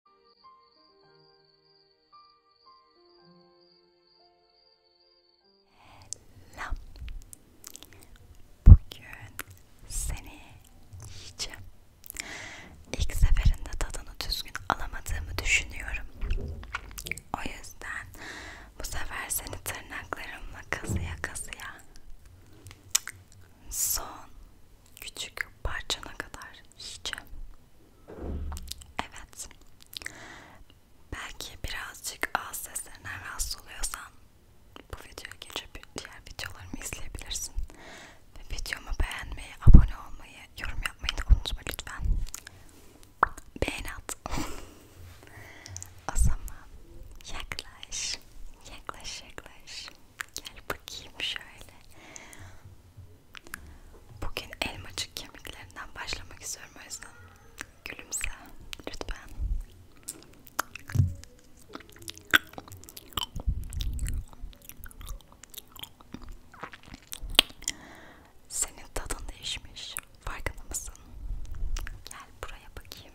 Hello. Bugün seni yiyeceğim. İlk seferinde tadını düzgün alamadığımı düşünüyorum. O yüzden bu sefer seni tırnaklarımla kazıya kazıya son küçük parçana kadar yiyeceğim. Evet. Belki birazcık ağız seslerinden rahatsız oluyorsan bu videoyu geçip diğer videolarımı izleyebilirsin. Ve videomu beğenmeyi, abone olmayı, yorum yapmayı da unutma lütfen. Beğen at. o zaman yaklaş, yaklaş, yaklaş. Gel bakayım şöyle. Bugün elmacık kemiklerinden başlamak istiyorum o yüzden gülümse lütfen. Senin tadın değişmiş. Farkında mısın? Gel buraya bakayım.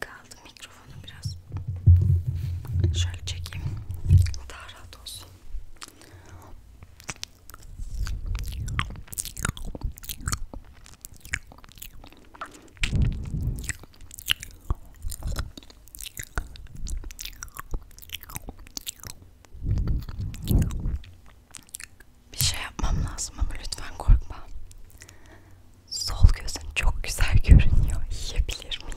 Kaldı mikrofonu biraz şöyle çekeyim daha rahat olsun. Bir şey yapmam lazım ama lütfen korkma. Sol gözün çok güzel görünüyor. Yiyebilir miyim?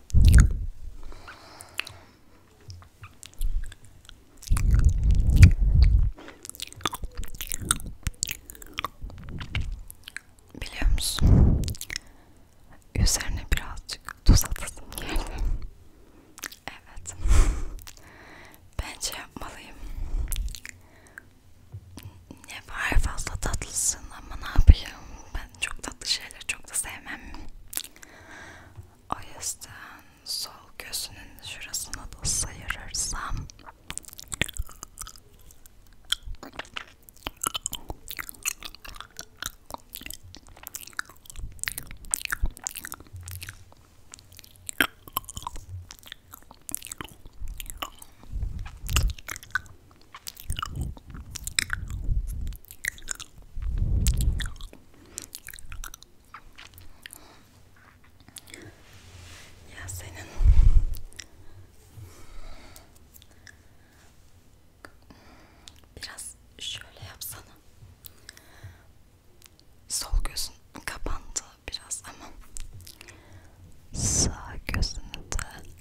Biliyor musun? Üzerine birazcık tuz atasım geldi. Evet. Bence şey yapmalıyım. Ne var fazla tatlısın ama ne yapayım? ben çok tatlı şeyleri çok da sevmem. O yüzden sol gözünün şurasına da sıyırırsam ya senin biraz şöyle yapsana. Sol gözün kapandı biraz ama sağ gözünü de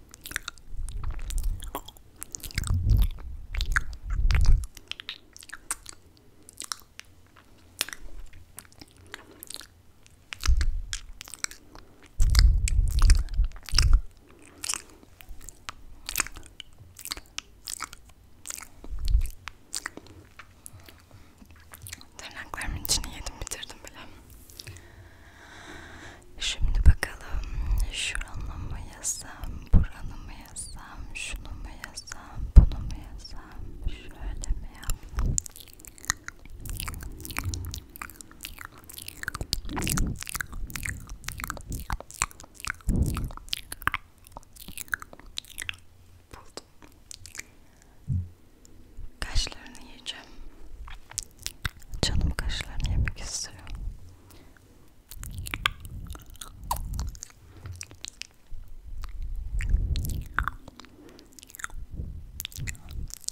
Tırnaklarımın içini yedim bitirdim bile. Şimdi bakalım şuranı mı yazsam, buranı mı yazsam, şunu mu yazsam, bunu mu yazsam, şöyle mi yapsam? Buldum. Kaşlarını yiyeceğim. Canım kaşlarını yemek istiyor.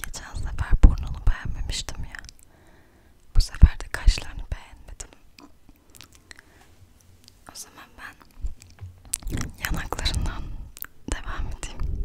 Geçen sefer burnunu beğenmemiştim ya. Bu sefer de kaşlarını beğenmedim. O zaman ben yanaklarından devam edeyim.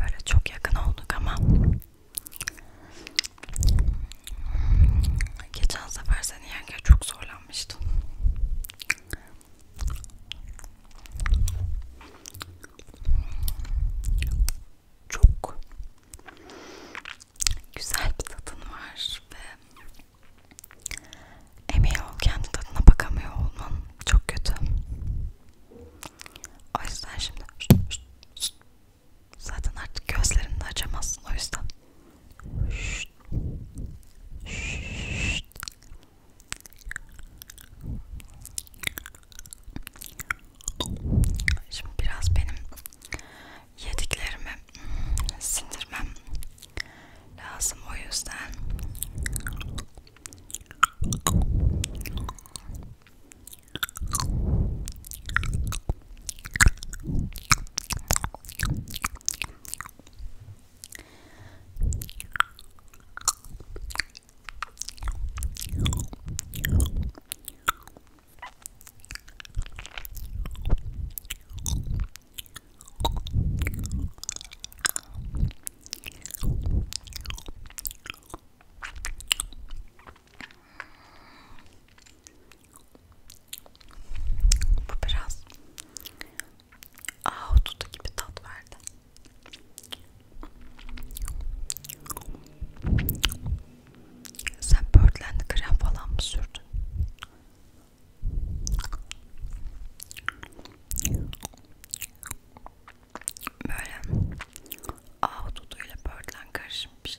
Böyle çok yakın olduk ama geçen sefer seni yerken çok zorlanmıştım çok güzel bir tadın var ve emeği ol kendi tadına bakamıyor olman çok kötü. O yüzden şimdi zaten artık gözlerini de açamazsın o yüzden. Şşt. Şşt. Şimdi biraz benim yediklerimi sindirmem lazım o yüzden bu biraz ahududu gibi tat verdi. Sen Birdland krem falan mı sürdün? Böyle ahududu ile Birdland karışım bir şey.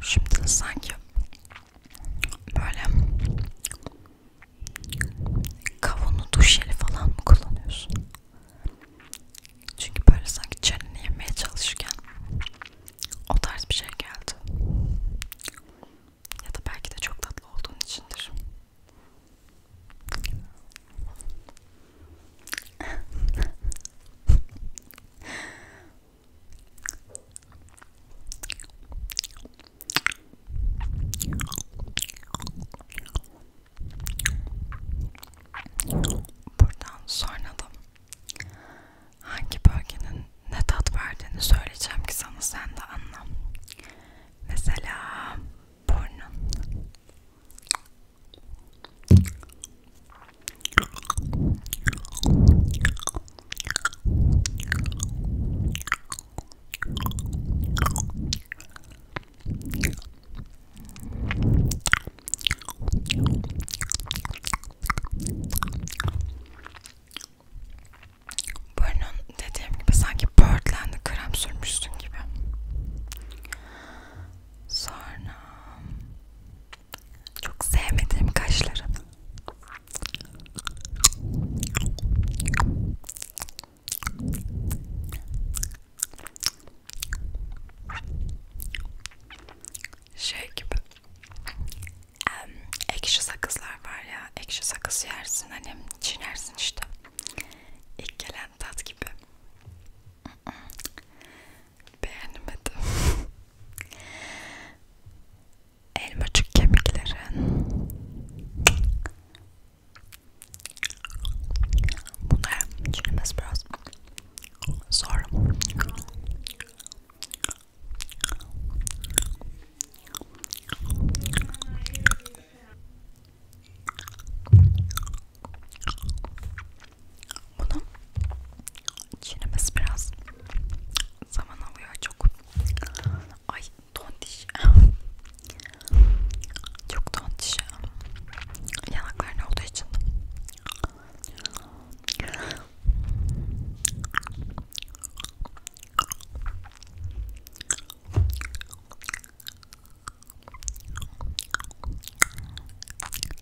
Şimdi de sanki böyle kavunu duş jeli falan mı kullanıyorsun? Çünkü böyle sanki çeneni yemeye çalışırken o tarz bir şey geldi. Ya da belki de çok tatlı olduğun içindir. Buradan sonra da hangi bölgenin ne tat verdiğini söyleyeceğim ki sana sen de anla. Mesela burnun Burnun dediğim gibi sanki Birdland'e krem sürmüşsün gibi. Sonra çok sevmediğim kaşlarım. Şey gibi um, ekşi sakızlar var ya ekşi sakız yersin hani çiğnersin işte ilk gelen tat gibi beğenmedim. Elmacık kemiklerin bunlar çürümesi biraz zor. Bunu çiğnemesi biraz zaman alıyor çok. Ay tontiş. çok tontiş. Yanakların olduğu için.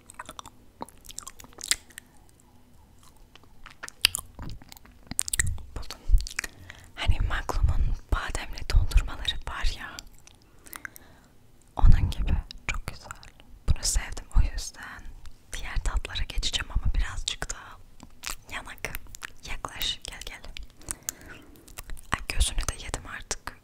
Buldum. Hani Maklum'un bademli dondurmaları var ya. Onun gibi çok güzel. Bunu sevdim o yüzden. Diğer tatlara geçeceğim ama birazcık daha yanak. Yaklaş gel gel. Ay gözünü de yedim artık.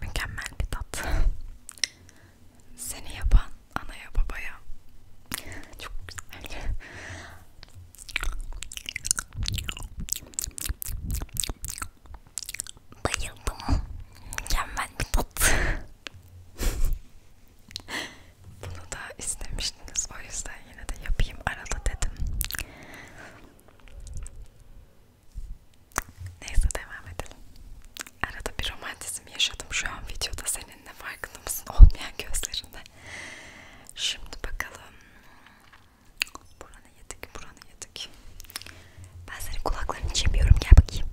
Mükemmel bir tat. Seni yapan anaya babaya çok güzel. Bayıldım. Mükemmel bir tat. Bunu da istemiştiniz. O yüzden yine de yapayım arada dedim. Neyse devam edelim. Arada bir romantizm yaşadım şu an videoda seninle farkında mısın? Olmayan gözlerinde. Şimdi bakalım. Buranı yedik, buranı yedik. Ben senin kulaklarını çemiyorum, gel bakayım.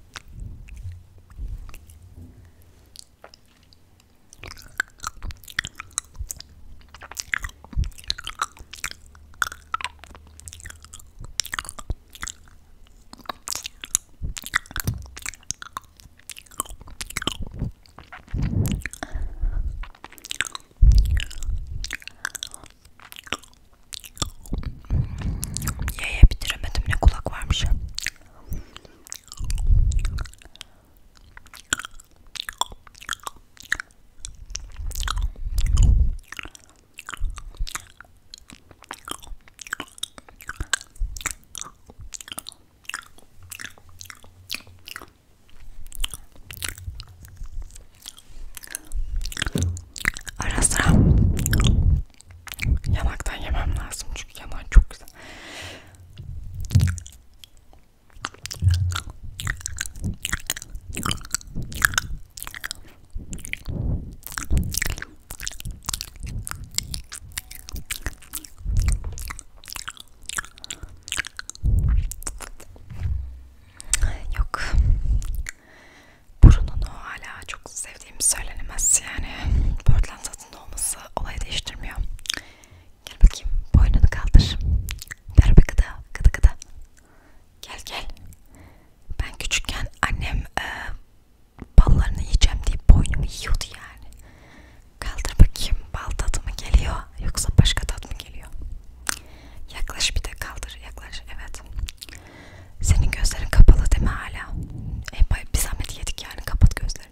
Yaya bitiremedim ne kulak varmış. Ara sıra yanaktan yemem lazım çünkü yanak çok güzel. Yok. Burununu hala çok sevdiğim söylenemez yani. Portland tadında olması olayı değiştirmiyor. Gel bakayım boynunu kaldır. Ver bir gıda gıda gıda. Gel gel. Ben küçükken annem e, ballarını yiyeceğim diye boynumu yiyordu yani. Kaldır bakayım bal tadı mı geliyor yoksa başka tat mı geliyor? Yaklaş bir de kaldır yaklaş evet. Senin gözlerin kapalı değil mi hala? E, bir zahmet yedik yani kapat gözlerini.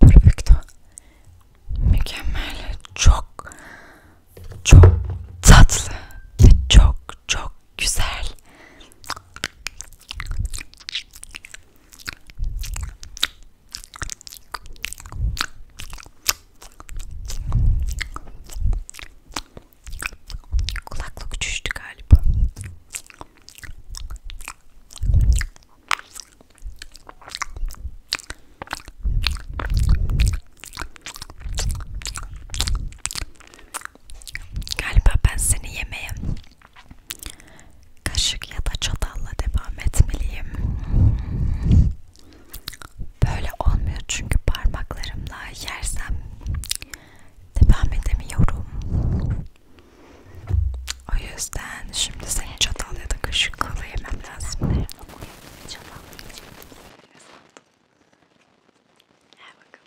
Perfecto. Mükemmel. Çok çok tatlı ve çok çok güzel. Kulaklık uçuştu galiba. Galiba ben seni yemeye kaşık ya da çatalla devam etmeliyim. Böyle olmuyor çünkü parmaklarımla yersem devam edemiyorum. O yüzden şimdi senin çatal ya da kaşıkla yemem lazım. Çatal yiyeceğim. He bakalım.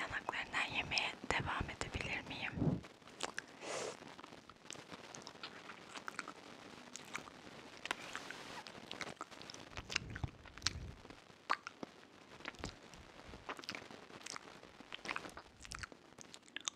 Yanaklarından yemeye devam edebilir miyim?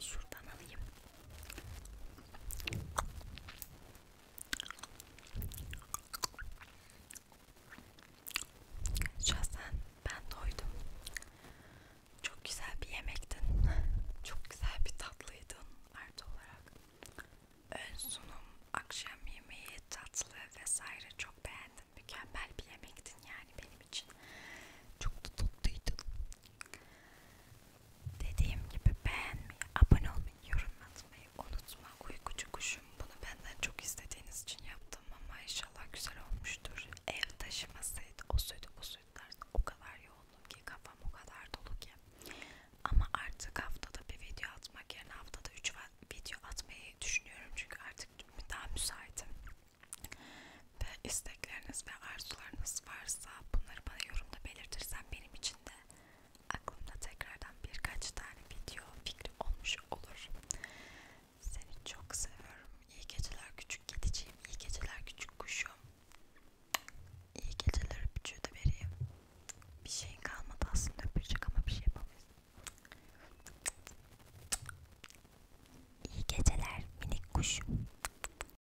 şuradan alayım. Şahsen ben doydum. Çok güzel bir yemektin. Çok güzel bir tatlıydın artı olarak. Ön sunum, akşam yemeği, tatlı vesaire çok beğendim. Mükemmel bir yemektin yani benim için. Çok da tatlıydın. Dediğim gibi beğenmeyi, abone olmayı, yorum atmayı unutma. Uykucu kuşum bunu benden çok istediğiniz için yaptım ama inşallah güzel olmuştur. Ev taşımasaydı o suydu bu suydulardı o kadar yoğunum ki kafam o kadar dolu ki. Ama artık haftada bir video atmak yerine haftada 3 video atmayı düşünüyorum çünkü artık daha müsaitim ve istekleriniz ve arzularınız varsa bunları bana yorumda belirtirsen benim için de aklımda tekrardan birkaç tane video fikri olmuş olur. Seni çok seviyorum. İyi geceler küçük kediciğim. İyi geceler küçük kuşum. İyi geceler öpücüğü de vereyim. Bir şeyin kalmadı aslında öpücük ama bir şey yapamayız. İyi geceler minik kuşum.